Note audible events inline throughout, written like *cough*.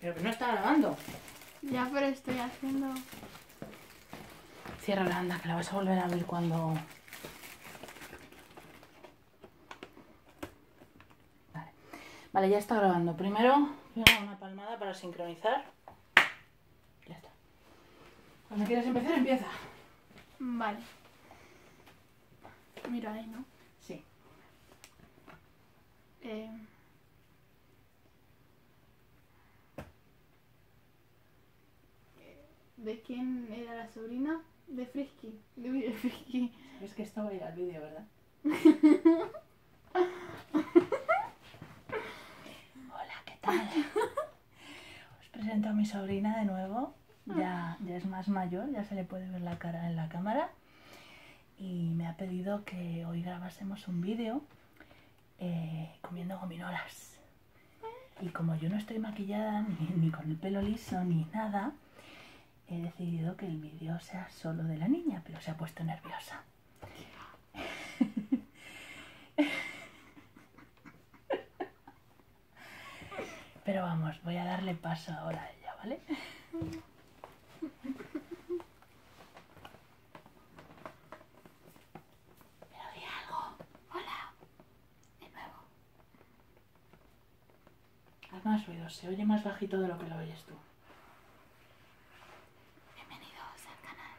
Pero que no está grabando. Ya, pero estoy haciendo... Cierra la anda, que la vas a volver a abrir cuando... Vale, vale ya está grabando. Primero, una palmada para sincronizar. Ya está. Cuando quieras empezar, empieza. Vale. Mira ahí, ¿no? Sí. Eh, ¿De quién era la sobrina? De Frisky. De, Frisky. Es que esto va a ir al vídeo, ¿verdad? Hola, ¿qué tal? Os presento a mi sobrina de nuevo. Ya, ya es más mayor, ya se le puede ver la cara en la cámara y me ha pedido que hoy grabásemos un vídeo eh, comiendo gominolas. Y como yo no estoy maquillada ni con el pelo liso ni nada, he decidido que el vídeo sea solo de la niña, pero se ha puesto nerviosa. *laughs* Pero vamos, voy a darle paso ahora a ella, ¿vale? Pero vi algo. Hola. De nuevo. Haz más ruido. Se oye más bajito de lo que lo oyes tú. Bienvenidos al canal.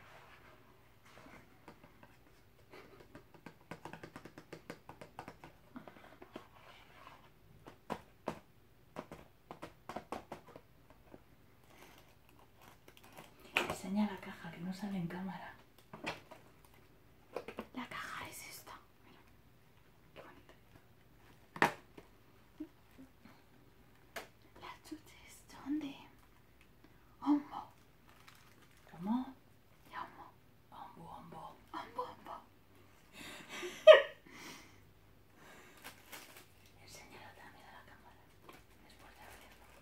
Enseña la caja que no sale en cámara. La caja es esta. Mira. Qué bonita. La chuches es Ombo. ¿Cómo? De Ombo. Ombo. Enseñalo también a la cámara después de abrirlo.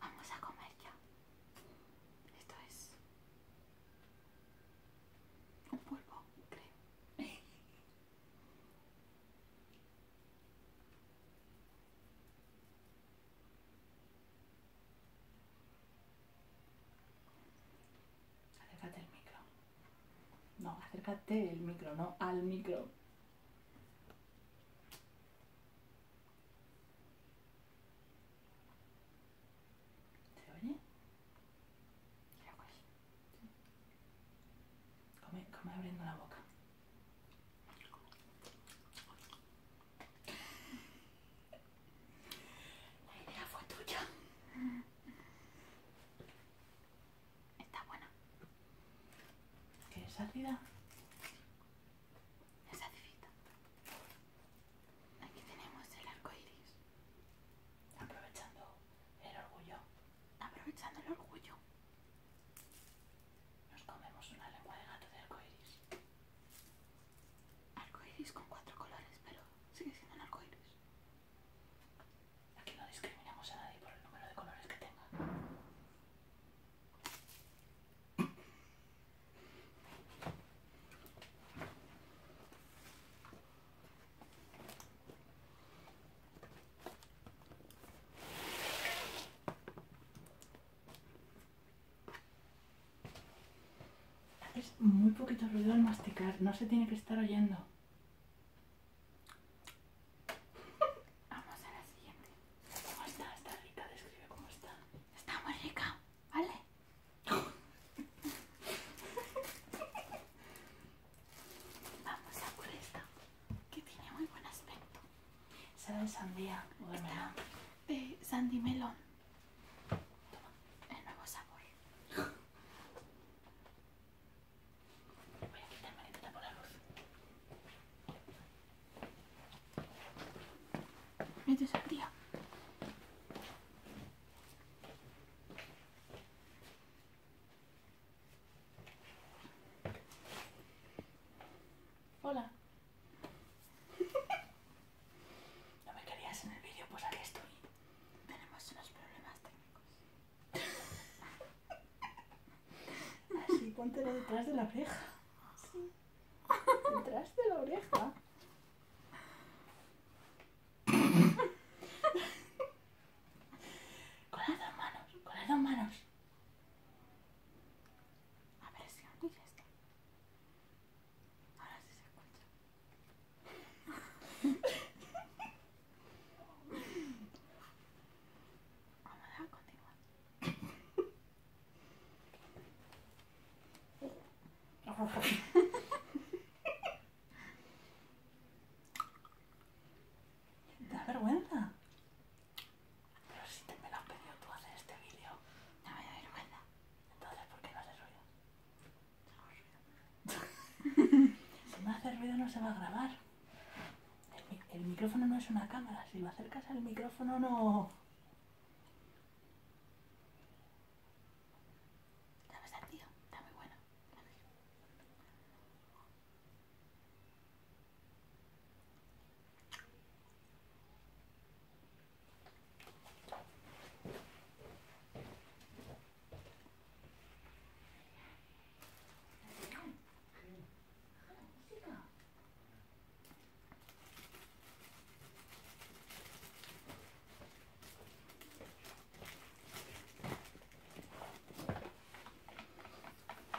Vamos a comer ya. Esto es un polvo, creo. *laughs* acércate al micro. No, acércate el micro, no al micro. ¿Se oye? Mira que pues. Come, come abriendo la boca. La idea fue tuya. Está buena. ¿Quieres ácida? Es acidita. Aquí tenemos el arco iris. Aprovechando el orgullo. Aprovechando el orgullo. Nos comemos una lengua de gato de arco iris. Arco iris con cuatro colores, pero sigue siendo un arco iris. Aquí no discriminamos a nadie por el número de colores que tenga. Es muy poquito ruido al masticar, no se tiene que estar oyendo. Vamos a la siguiente. ¿Cómo está Está rica? Describe cómo está. Está muy rica, ¿vale? Vamos a por esta, que tiene muy buen aspecto. de sandía o de sandy melón. Toma, el nuevo sabor. Voy a quitarme la por la luz. Mete sandía. Hola. *laughs* ¿No me querías en el vídeo? Pues aquí estoy. Tenemos unos problemas técnicos. *laughs* Así, póntelo detrás de la oreja. Detrás de la oreja con las dos manos, con las dos manos. A ver si mira Ahora sí se escucha. Vamos a continuar. *laughs* da vergüenza. Pero si te me lo has pedido tú hacer este vídeo. me da vergüenza. Entonces, ¿por qué no haces ruido? ruido. si no hace ruido no se va a grabar. El, micrófono no es una cámara. Si lo acercas al micrófono no... Está bastante, tío. Está muy bueno.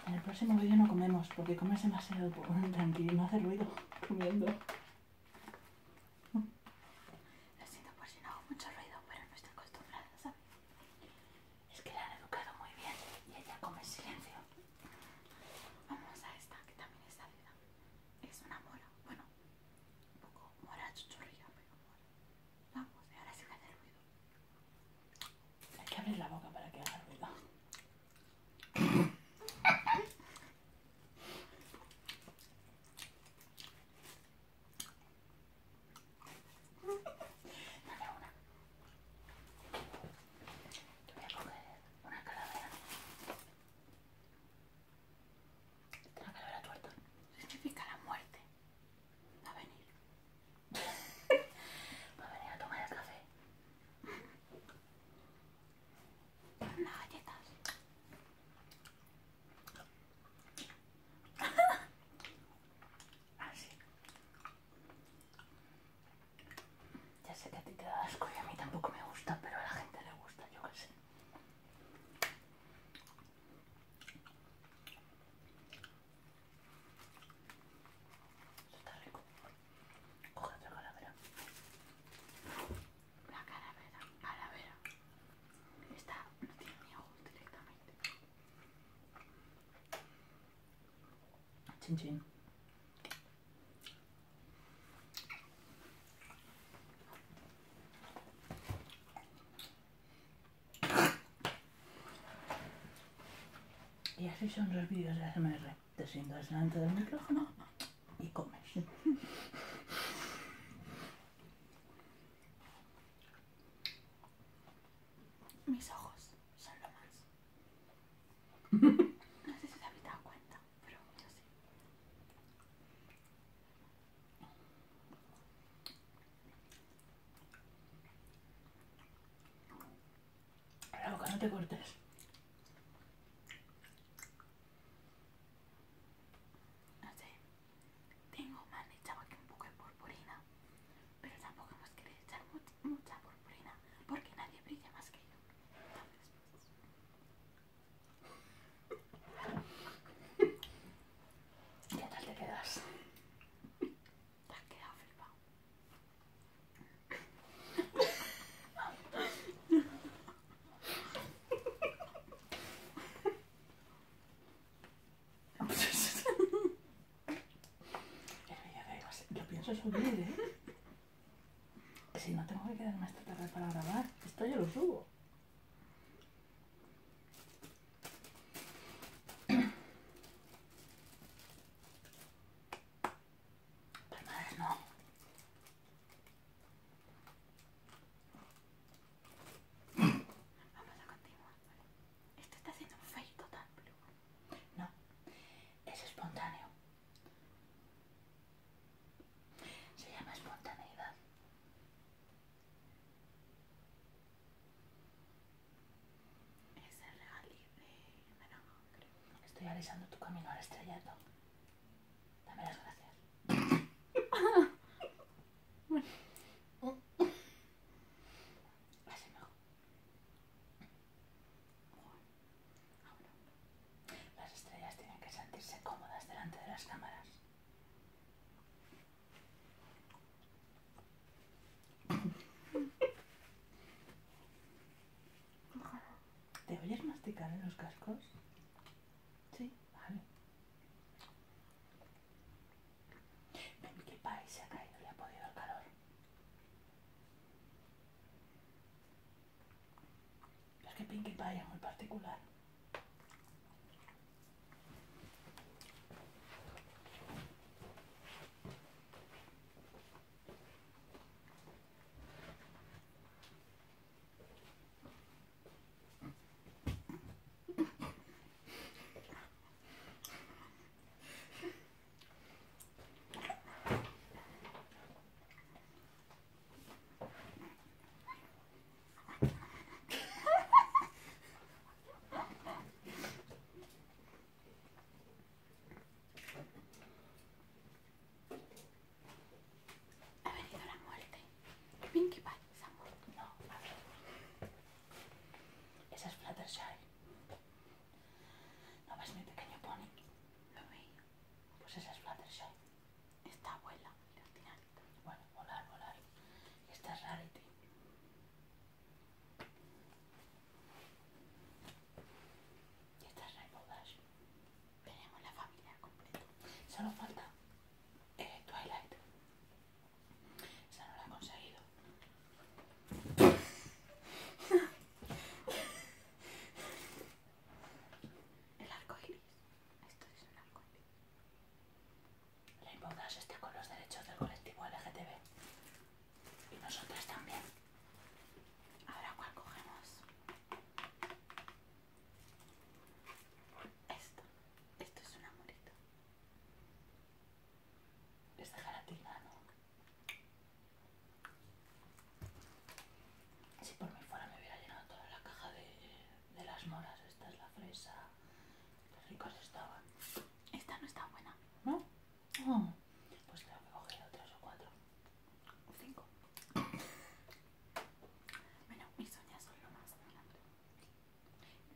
En el próximo vídeo no comemos, porque comes demasiado pues, *laughs* tranquilo, no hace ruido comiendo. *laughs* Lo siento por si no hago mucho ruido, pero no estoy acostumbrada, ¿sabes? Es que la han educado muy bien y ella come en silencio. Vamos a esta, que también es salida. Es una mola Bueno, un poco mora chuchurría, pero mora. Vamos, y ahora sí que hace ruido. Hay que abrir la boca para que haga ruido. Dame una. Te voy a coger una calavera la calavera tuerta. Significa la muerte. Va a venir. *laughs* Va a venir a tomar el café. Las unas galletas. Así. *laughs* Ah, ya sé que a ti te da asco y a mí tampoco me gusta, pero a la gente le gusta, yo qué sé. Eso está rico. Coge otra calavera. La calavera, calavera. Esta no tiene ni ojos directamente. Chin y así son los vídeos de MR. Te el delante del micrófono y comes. Mis ojos son lo más. *laughs* No sé si te habéis dado cuenta pero yo sé. La boca no te cortes. No sé, tengo más de aquí un poco de purpurina, pero tampoco hemos querido echar mucha purpurina porque nadie brilla más que yo. Entonces, pues, ¿Qué tal te quedas? Te has quedado flipado. Yo pienso subir, ¿eh? Si no tengo que quedarme esta tarde para grabar, esto yo lo subo pero no. Vamos a continuar, Esto está haciendo un fake total, No, es espontáneo. Se llama espontaneidad. Es el regalí de Estoy alisando tu camino al estrellato. Dame las gracias. Así mejor. Las estrellas tienen que sentirse cómodas delante de las cámaras. *coughs* ¿Te oyes masticar en los cascos? Sí, vale. ¿En qué país se ha caído y ha podido el calor? Es que Pinkie Pie es muy particular. Ha venido la muerte. Pinkie Pie se ha No, a ver. Esa es Fluttershy. ¿No ves mi pequeño pony? Lo Pues esa es Fluttershy. Esta abuela, la tiene Bueno, volar, volar. Esta es Rarity. Y esta es Rainbow Tenemos la familia completa. Solo falta Twilight. Esa no la he conseguido. *laughs* El arco iris. Esto es un La Inbaudash está con los derechos del colectivo LGTB. Y nosotros también. Ahora, ¿cuál cogemos? Esto. Esto es un amorito. Es de gelatina, ¿no? Si por mí fuera me hubiera llenado toda la caja de de las moras. Esta es la fresa. Qué ricas estaban. Esta no está buena. ¿No? Oh, pues creo que cogeré tres o cuatro. O cinco. Bueno, mis uñas son lo más adelante.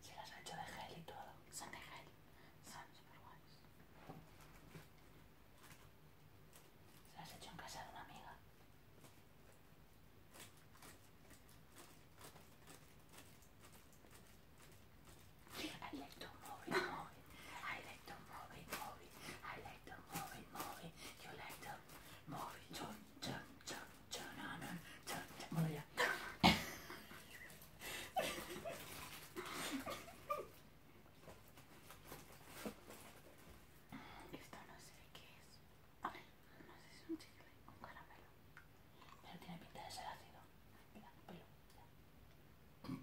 Se las ha hecho de gel y todo. Son de gel. Son super guays. Se las ha hecho en casa de una amiga. I like to move it, move it. I like to move it, move it. I like to move it, move it. You like to move it, turn, turn, turn, turn on, on, turn, turn. turn. Esto no sé qué es. A ver, no sé si es un chicle o un caramelo. Pero tiene pinta de ser ácido. Mira, Ya.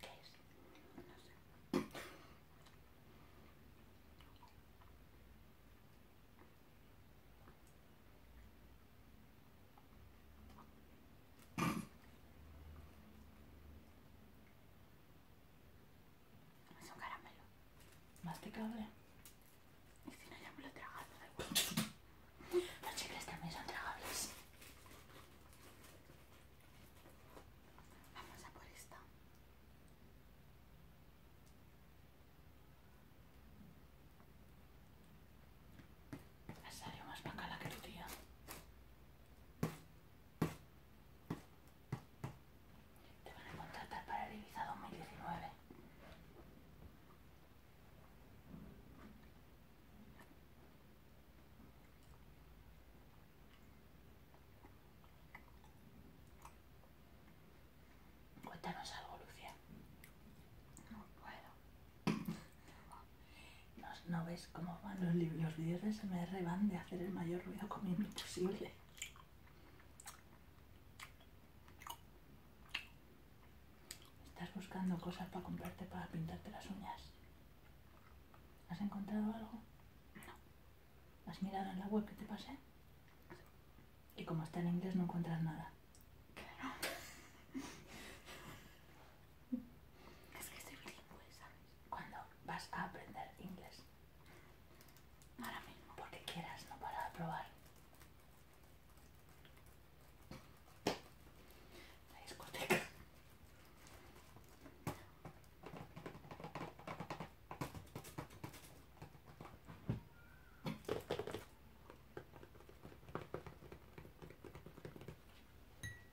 ¿Qué es? No sé. Es un caramelo. Masticable. Y si no, ya me lo he tragado, Los chicles también son tragables. Vamos a por esta. Ha salió más bacala que tu tía. Te van a contratar para el Ibiza 2019. Cuéntanos algo, Lucía. No puedo. No, ves cómo van los, los vídeos de SMR van de hacer el mayor ruido comiendo posible. Estás buscando cosas para comprarte para pintarte las uñas. ¿Has encontrado algo? No. ¿Has mirado en la web que te pasé? Y como está en inglés no encuentras nada. Claro. Es que soy bilingüe, ¿sabes? Cuando vas a aprender inglés. Ahora mismo. Porque quieras, no para probar. La discoteca.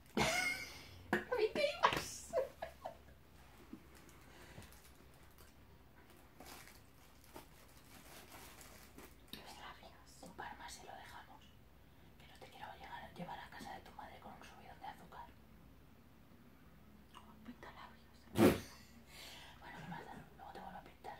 labios. Un par más y lo dejamos. Que no te quiero llegar, llevar a casa de tu madre con un subidón de azúcar. No, pinta labios. bueno, me Luego te vuelvo a pintar.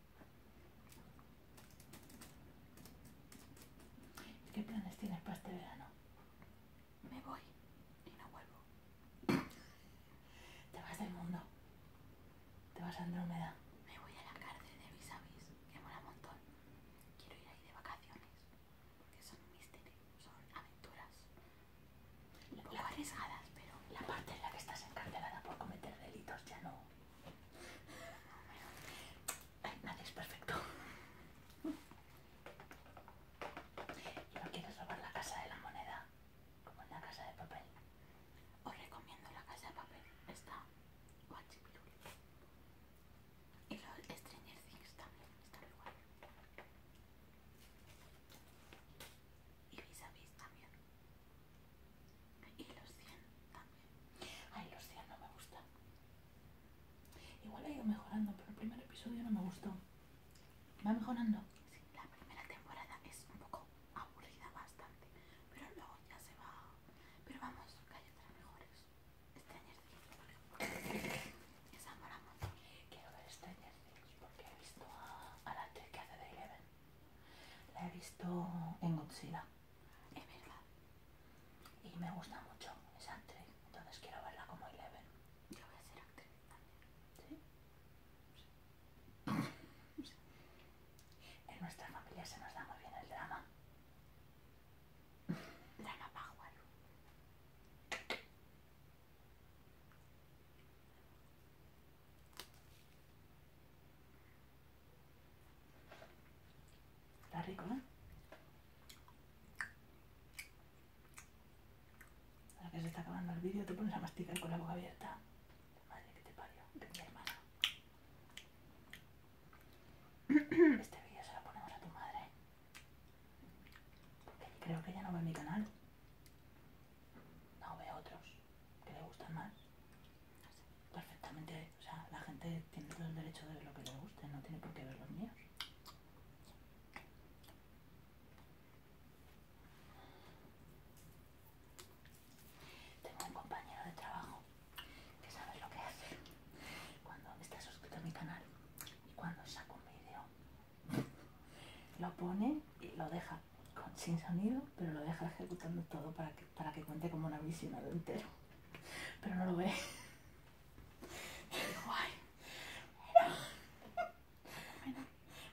¿Qué planes tienes para este verano? Me voy y no vuelvo. Te vas del mundo. Te vas a Andrómeda. Me voy a la cárcel de Vis-a-Vis, que mola un montón. Quiero ir ahí de vacaciones, porque son un misterio, son aventuras. Un arriesgadas, pero... La parte en la que estás encarcelada por cometer delitos ya no nadie es perfecto. Yo no quieres robar la casa de la moneda? Como en la casa de papel. Os recomiendo la casa de papel. Está guachipirul. Y los Stranger Things también están igual. Y vis a vis también. Y los 100 también. Ay, los 100 no me gustan. Igual ha ido mejorando, pero el primer episodio no me gustó. Va mejorando. Sí, la primera temporada es un poco aburrida bastante, pero luego ya se va. Pero vamos, que hay otras mejores. Stranger Things, por ejemplo. Quiero ver Stranger Things porque he visto a, la T que hace de Eleven. La he visto en Godzilla es verdad. Y me gusta mucho esa actriz, entonces quiero verla como Eleven. Yo voy a ser actriz también. ¿Sí? *laughs* En nuestra familia se nos da muy bien el drama. Drama pájaro. Está rico, ¿eh? Ahora que se está acabando el vídeo te pones a masticar con la boca abierta. Madre que te parió, de mi hermana. Este vídeo se lo ponemos a tu madre. Porque creo que ella no ve mi canal. No ve otros que le gustan más perfectamente, o sea, la gente tiene todo el derecho de ver lo que le guste, no tiene por qué ver los míos. Tengo un compañero de trabajo que sabe lo que hace cuando está suscrito a mi canal y cuando saco un vídeo lo pone y lo deja sin sonido, pero lo deja ejecutando todo para que para que cuente como una visión al entero. Pero no lo ve. Guay. Bueno,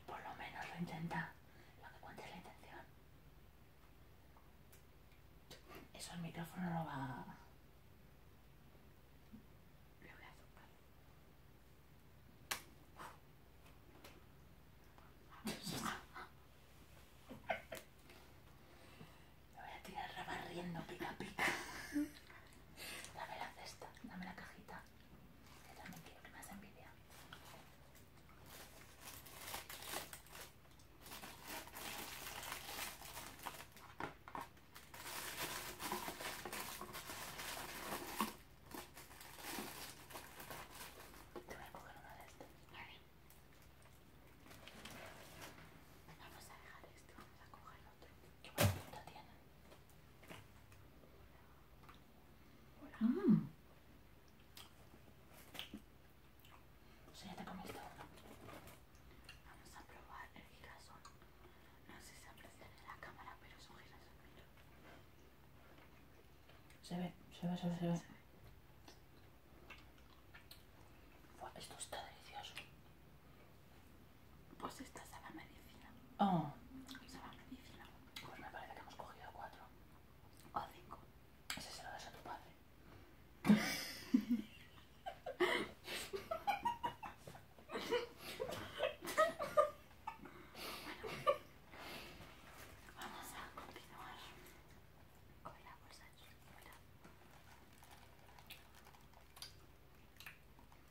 por, lo menos, lo intenta. Lo que cuente es la intención. Eso el micrófono lo va. Lo voy a me voy a tirar barriendo pica pica. Dame la cesta, dame la cajita. Que también quiero que me envidia. Te voy a coger una de estas. Vamos a dejar esto, vamos a coger otro. ¿Qué bonito tiene? Hola. Mm. sea, ya te uno. Vamos a probar el girasol. No sé si se aprecia en la cámara, pero es un girasol, se ve, se ve, se ve. Se ve esto está delicioso. Pues esta es la medicina. Oh. la medicina. Pues me parece que hemos cogido cuatro. O cinco. Ese se lo das a tu padre. bueno, *laughs* vamos a continuar con la bolsa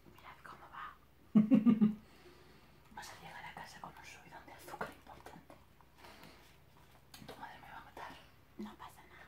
Mirad cómo va. *laughs* Vas a llegar a casa con un subidón de azúcar importante. Tu madre me va a matar. No pasa nada.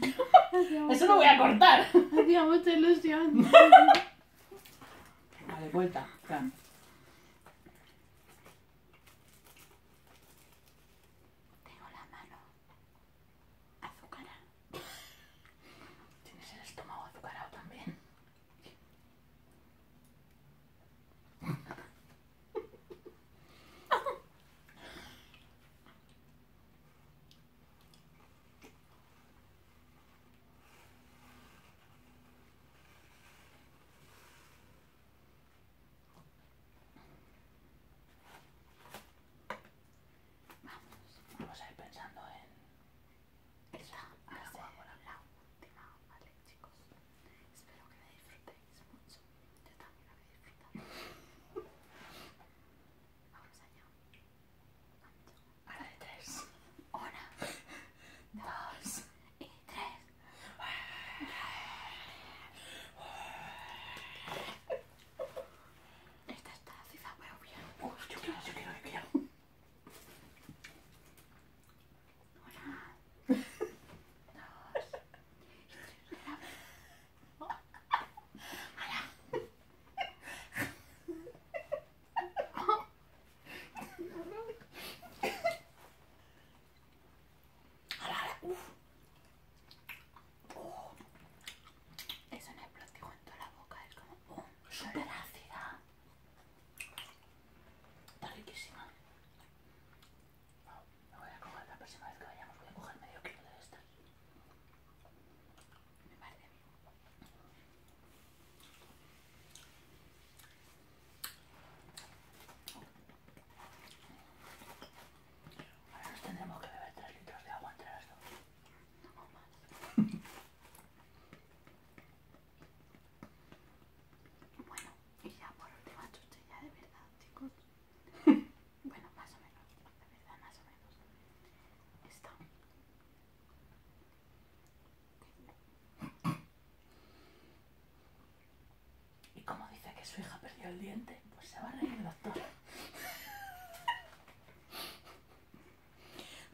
*laughs* Eso lo voy a cortar. Hacía mucha ilusión. Vale, vuelta. Tengo la mano azucarada. Tienes el estómago azucarado también. Vamos, vamos a ir pensando en esta. hacer la última, ¿vale chicos? Espero que la disfrutéis mucho. Yo también la voy a disfrutar. vamos allá. Ahora de tres. Una, dos y tres. Esta está muy bien. yo quiero, yo quiero, yo quiero. Una, dos tres. ¡Uf! ¡Uf! ¡Uf! ¡Eso es el platillo en toda la boca! ¡Es como! ¡Uf! ¡Su ¡Está riquísima! Me voy a coger la próxima vez que vayamos, voy a coger medio kilo de esta. Me parece bien. Ahora nos tendremos que beber 3 litros de agua entre las dos. No más. bueno, y ya por última ya de verdad, chicos. *laughs* bueno, más o menos. De verdad, más o menos. Está y como dice que su hija perdió el diente, pues se va a reír el doctor.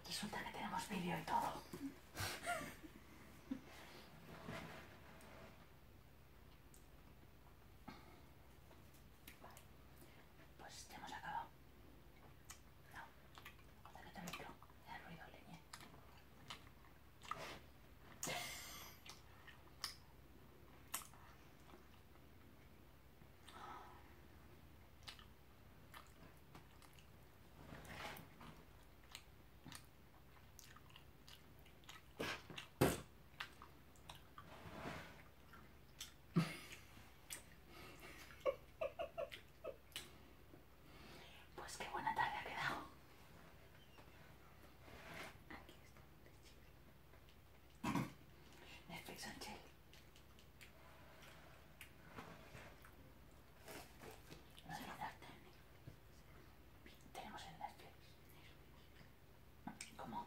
Resulta que tenemos vídeo y todo pues ya hemos acabado. No, cuando que te micro, el ruido leñe. Pues qué buena tarde ha quedado. Aquí está. Netflix on chill. No Tenemos el Netflix. ¿Cómo?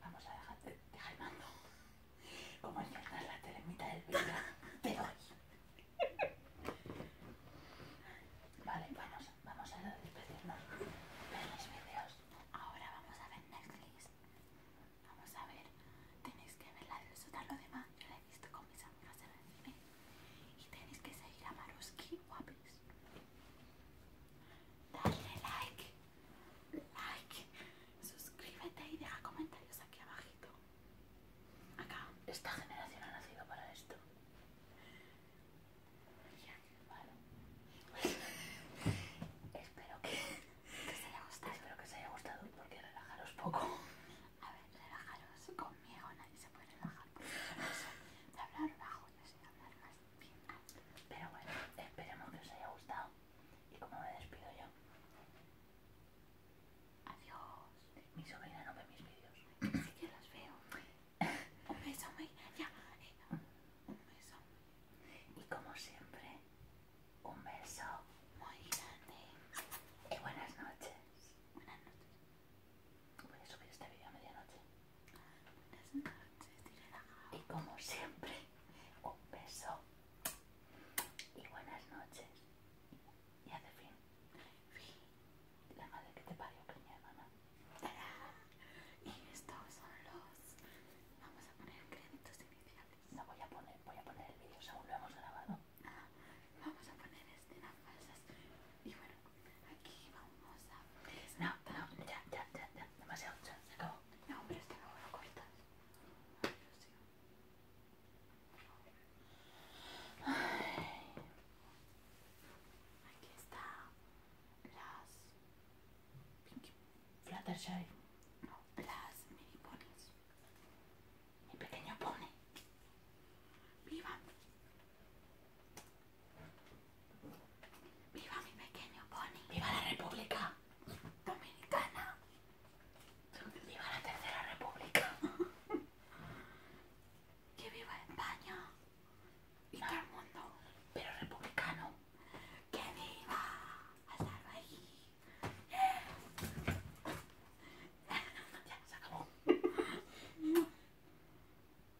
vamos a dejar de el mando. Como enciertas la telemita del vídeo, te doy. Vale, vamos, vamos a despedirnos de los vídeos. Ahora vamos a ver Netflix. Vamos a ver, tenéis que ver la del sótano de demás, yo la he visto con mis amigas en el cine. Y tenéis que seguir a Maruski, guapis. Dale like, like, suscríbete y deja comentarios aquí abajito. Acá. Esta generación ha nacido para esto. *laughs* espero que, se haya gustado. Espero que os haya gustado porque relajaros poco. A ver, relajaros conmigo, nadie se puede relajar. Porque hablar bajo, hablar más. Pero bueno, esperemos que os haya gustado. Y como me despido yo. Adiós. Mi sobrina no ve mis vídeos. así que los veo. Un beso, muy... ya. Eh, un beso. Y como siempre, un beso muy grande. Y buenas noches. Buenas noches. Voy a subir este vídeo a medianoche. Buenas noches, Y como siempre, un beso. Y buenas noches. Y hace fin. Fin. La madre que te parió, que mi hermana. *laughs* Y estos son los. Vamos a poner créditos iniciales. No voy a poner, voy a poner el vídeo según lo hemos grabado. Ah, vamos a poner escenas falsas. Y bueno, aquí vamos a... No, no, ya, ya, ya, ya, se acabó. No, este lo Aquí está las Fluttershy. No, las mini ponies. Mi pequeño pony. Viva. Viva mi pequeño pony. Viva la República Dominicana. Viva la Tercera República. *laughs* que viva España. Y todo el mundo. Pero republicano. Que viva. Hasta *laughs* *laughs*